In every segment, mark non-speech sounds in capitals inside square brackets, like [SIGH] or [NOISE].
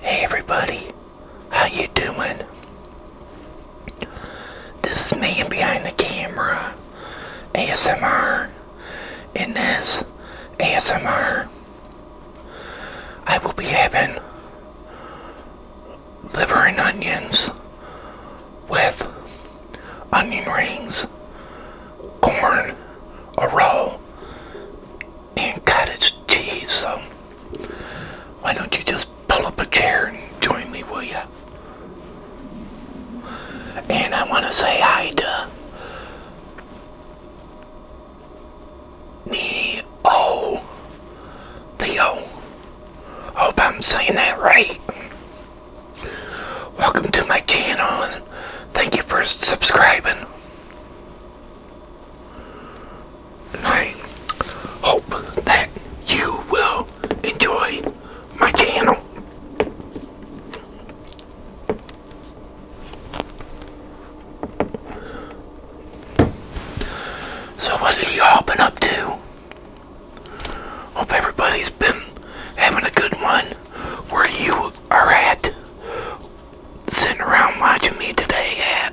Hey everybody, how you doing? This is me behind the camera, ASMR. In this ASMR, I will be having liver and onions with onion rings, corn, a roll, and cottage cheese. So why don't you just pull up a chair and join me, will you? And I want to say hi to me, oh, Theo. Hope I'm saying that right. Welcome to my channel and thank you for subscribing. I hope that you will enjoy my channel. So what have y'all been up to? Hope everybody's been having a good one where you are at, sitting around watching me today at.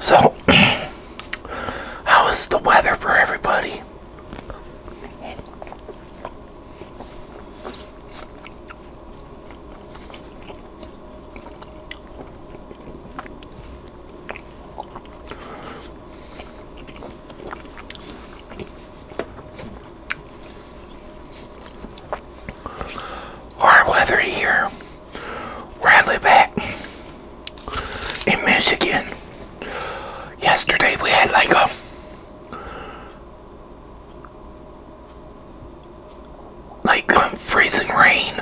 So, [CLEARS THROAT] how is the weather for everybody? Our weather here, where I live at in Michigan. Yesterday we had like a like um, freezing rain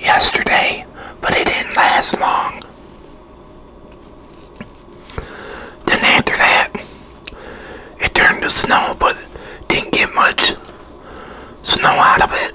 yesterday, but it didn't last long. Then after that, it turned to snow, but didn't get much snow out of it.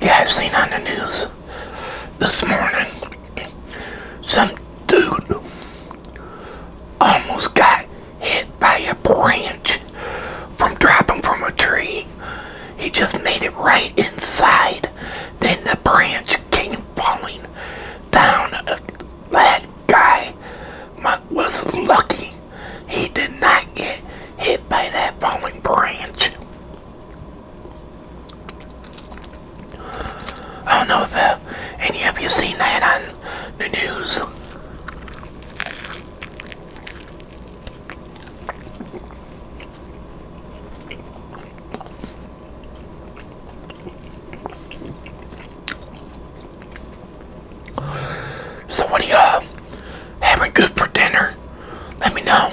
Yeah, I've seen on the news this morning some dude almost got hit by a branch from dropping from a tree. He just made it right inside. Then the branch came falling down. at That guy was lucky. He did not get hit by that falling branch. I don't know if uh, any of you seen that on the news. So what are y'all having good for dinner? Let me know.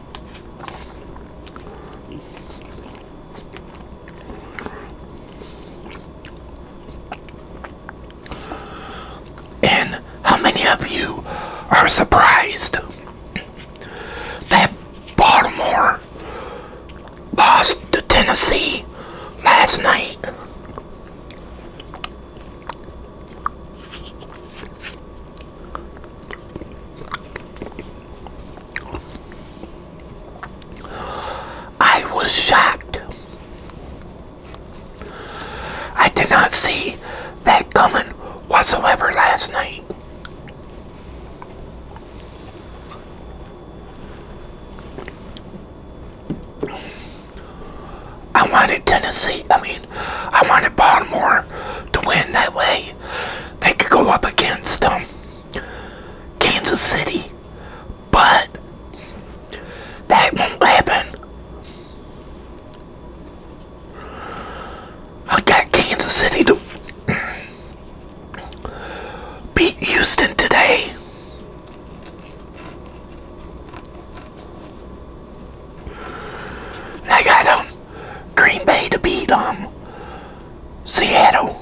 And how many of you are surprised that Baltimore lost to Tennessee last night? I was shocked. I did not see that coming whatsoever last night. I wanted Tennessee, I mean, I wanted Baltimore to win that way they could go up against them. Um, Kansas City. But that won't happen. I got Kansas City to beat Houston today. I got them. Um, Green Bay to beat um Seattle.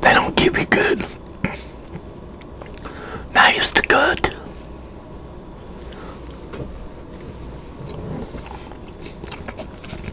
They don't give me good knives to cut.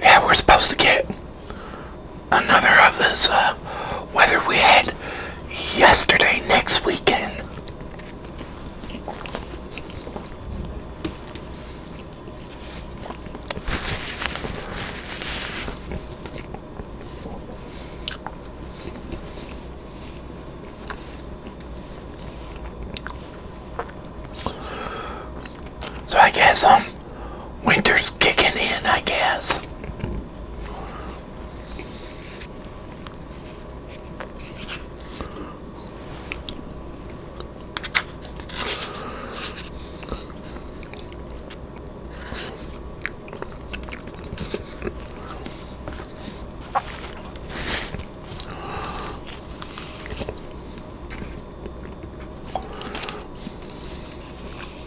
Yeah, we're supposed to get another of this uh, weather we had yesterday, next weekend. So I guess um Winter's kicking in, I guess.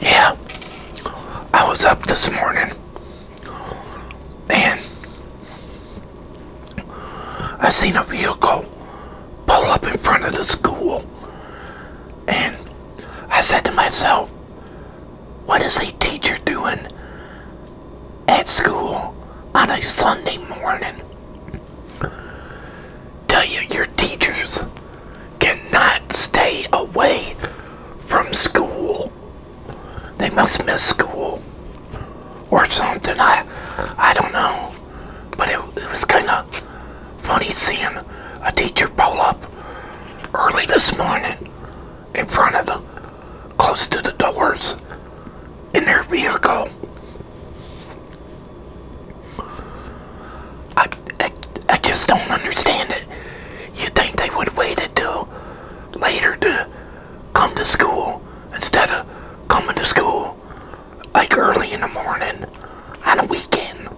Yeah, I was up this morning and I seen a vehicle pull up in front of the school. And I said to myself, what is a teacher doing at school on a Sunday morning? Tell you, your teachers cannot stay away from school. They must miss school or something. I, I don't know. But it, was kind of funny seeing a teacher pull up early this morning in front of the, close to the doors in their vehicle. I, I, just don't understand it. you think they would wait until later to come to school instead of coming to school like early in the morning on a weekend.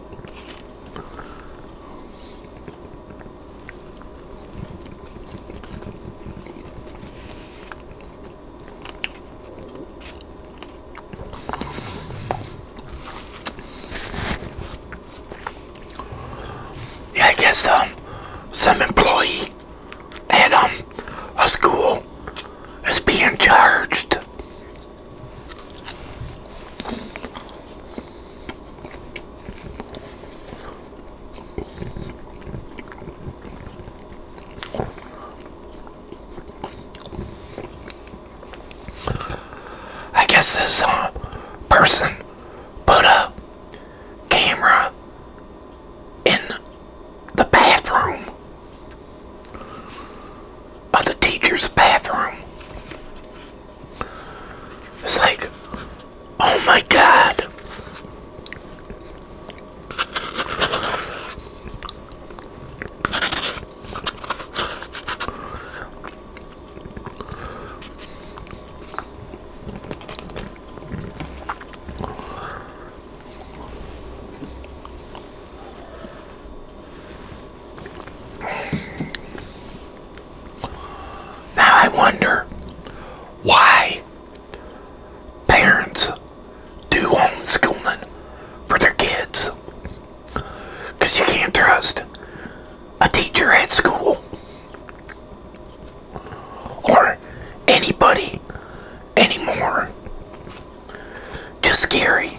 Yeah, I guess um, some employee at um, a school is being charged I guess this uh, person put a camera in the bathroom of the teacher's bathroom. It's like, oh my god. Now I wonder why parents do homeschooling for their kids. Because you can't trust a teacher at school or anybody anymore. Just scary.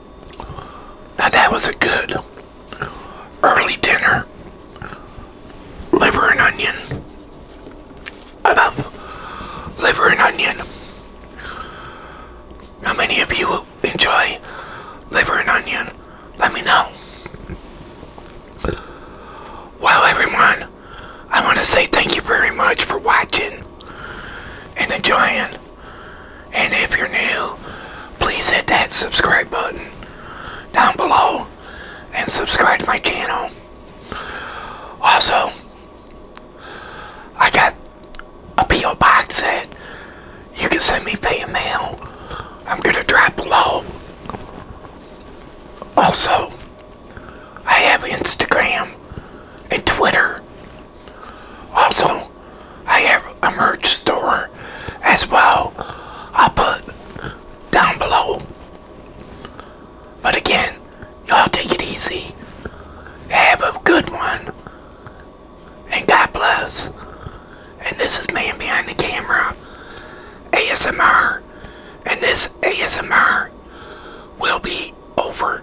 Now that was a good early dinner. Liver and onion. I love liver and onion. How many of you enjoy liver and onion? Let me know. Well, everyone, I want to say thank you very much for watching and enjoying and if you're new, please hit that subscribe button down below and subscribe to my channel. Also, I got a P.O. box at. you can send me fan mail. I'm going to drop below. Also, I have Instagram and Twitter. Also, I have a merch store as well. I'll put down below. But again, y'all take it easy. Have a good one. And God bless. And this is Man Behind the Camera ASMR. And this ASMR will be over.